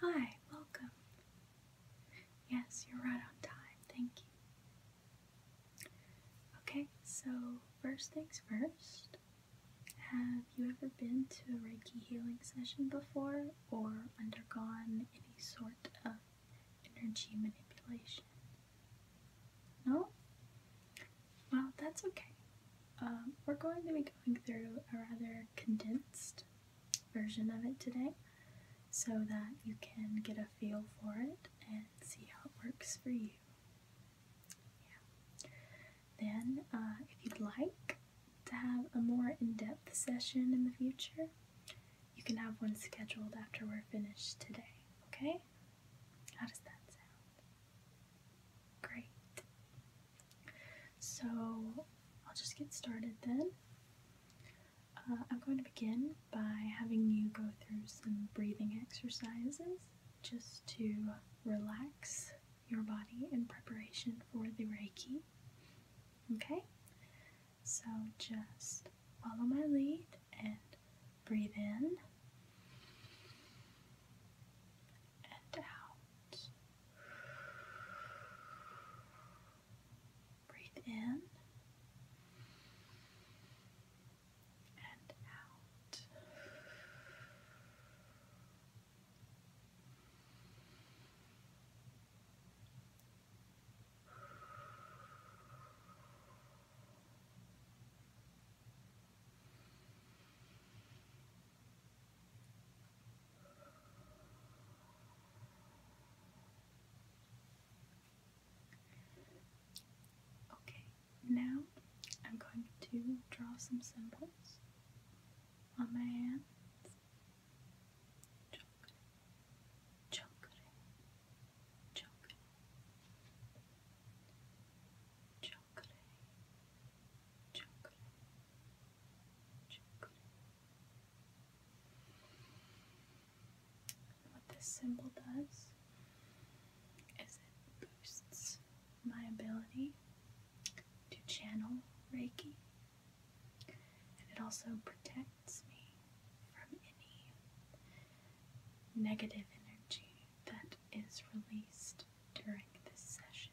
Hi, welcome. Yes, you're right on time. Thank you. Okay, so first things first. Have you ever been to a Reiki healing session before or undergone any sort of energy manipulation? No? Well, that's okay. Um, we're going to be going through a rather condensed version of it today so that you can get a feel for it and see how it works for you. Yeah. Then, uh, if you'd like to have a more in-depth session in the future, you can have one scheduled after we're finished today, okay? How does that sound? Great. So I'll just get started then. Uh, I'm going to begin by having you go through some breathing exercises just to relax your body in preparation for the Reiki. Okay? So just follow my lead and breathe in and out. Breathe in and out. Okay, now I'm going to draw some symbols on my hands. Chakra, chakra, chakra, chakra, what this symbol does is it boosts my ability to channel Reiki, and it also protects me from any negative energy that is released during this session.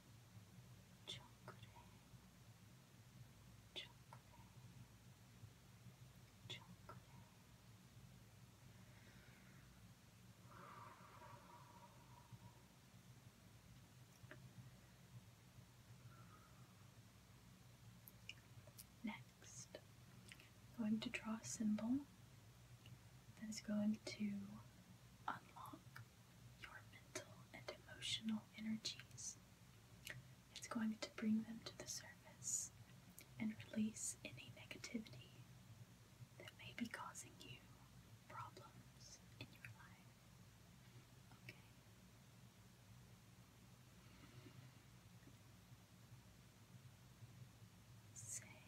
Next, I'm going to draw a symbol that is going to unlock your mental and emotional energies. It's going to bring them to the surface and release any negativity that may be causing you problems in your life. Okay. Say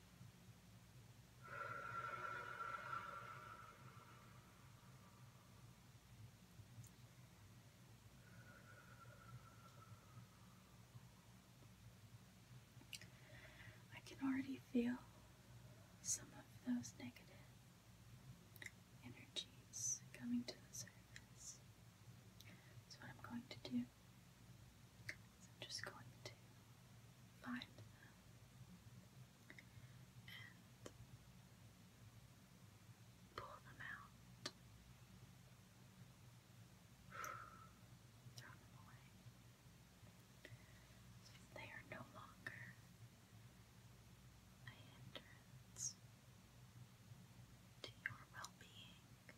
I can already feel some of those negative energies coming to the surface. So, what I'm going to do is I'm just going to find and pull them out, throw them away. They are no longer a hindrance to your well being.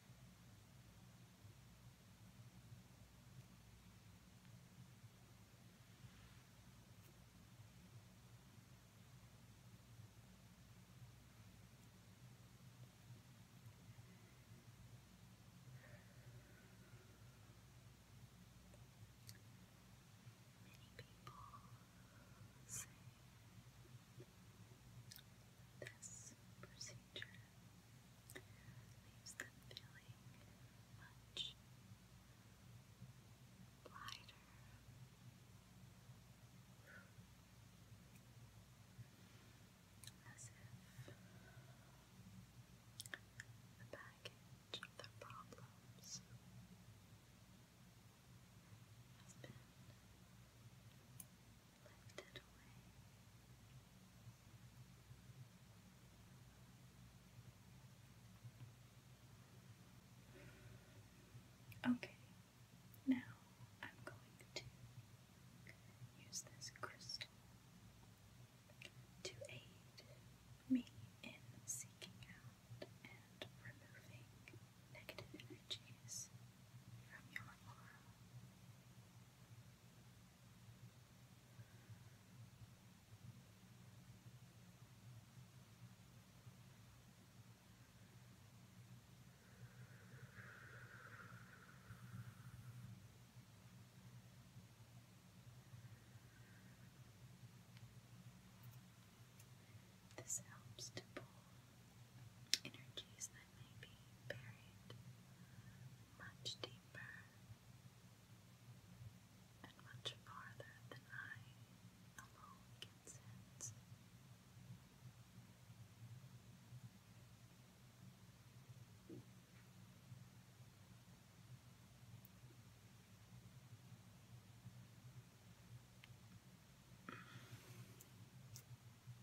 Many people say this procedure leaves them feeling much lighter. As if the baggage of their problems has been lifted away. Okay, now I'm going to use this crystal to aid me in seeking out and removing negative energies from your aura. This helps to pull energies I may be buried much deeper and much farther than I alone can sense.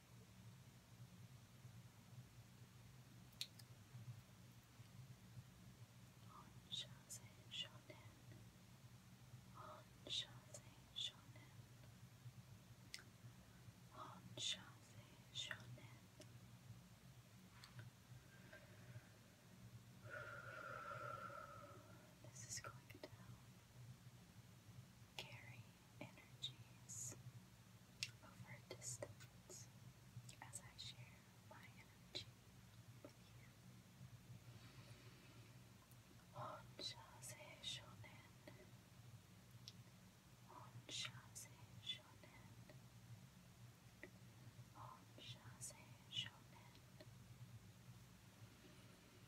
Onshazen Shonen. Onshazen Shonen. Onshazen Shonen. This is going down carry energies over a as I share my energy with you. Honsha se shonen. Honsha se shonen.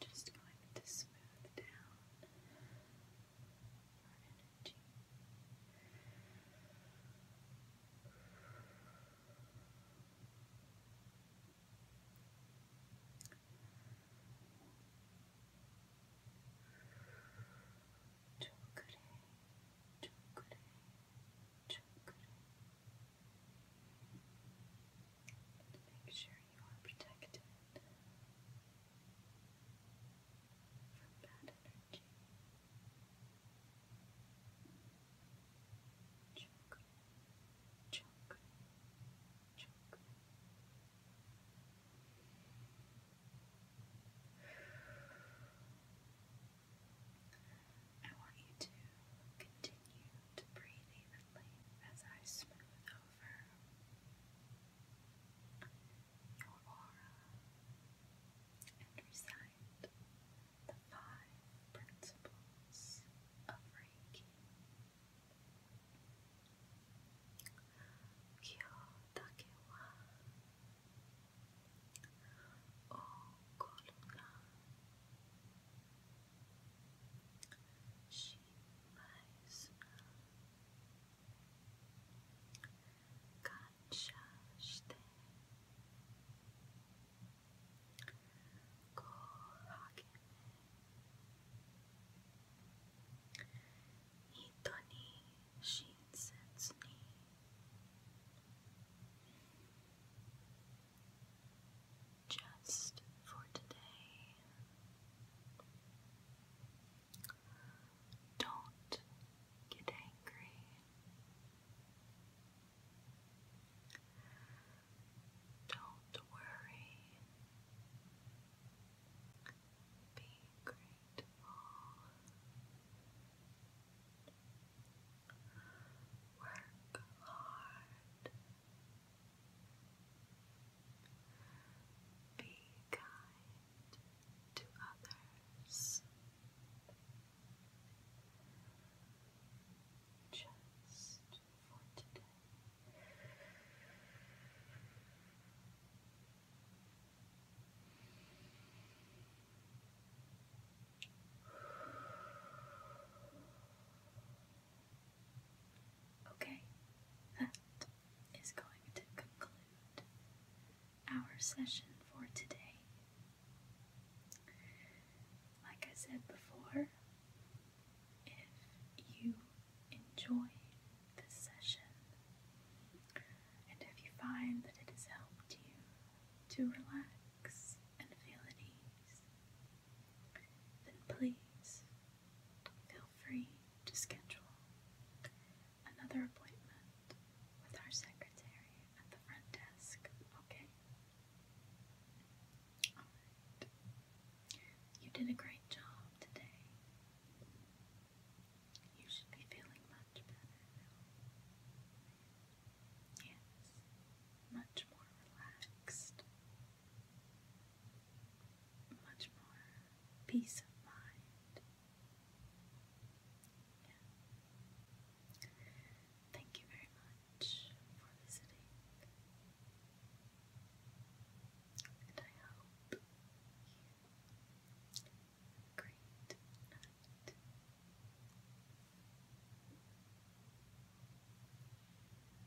just going to smooth down our energy. Chokure, chokure, chokure. Make sure you are protected from bad energy. Chakra, chakra, chakra. I want you to continue to breathe evenly as I smooth over your aura and recite the five principles of Reiki. Kyo dake wa okoru ga Kancha shite Go hakeme Ito ni shinsetsu ni Just for today don't get angry. Don't worry. Be grateful. Work hard. Be kind to others. Just for today. Okay, that is going to conclude our session for today. Like I said before, if you enjoyed this session and if you find that it has helped you to relax and feel at ease, then please feel free to schedule another appointment with our secretary at the front desk, okay? You did a great job today. You should be feeling much better Yes, much more relaxed much more peace of mind. Thank you very much for visiting, and I hope you have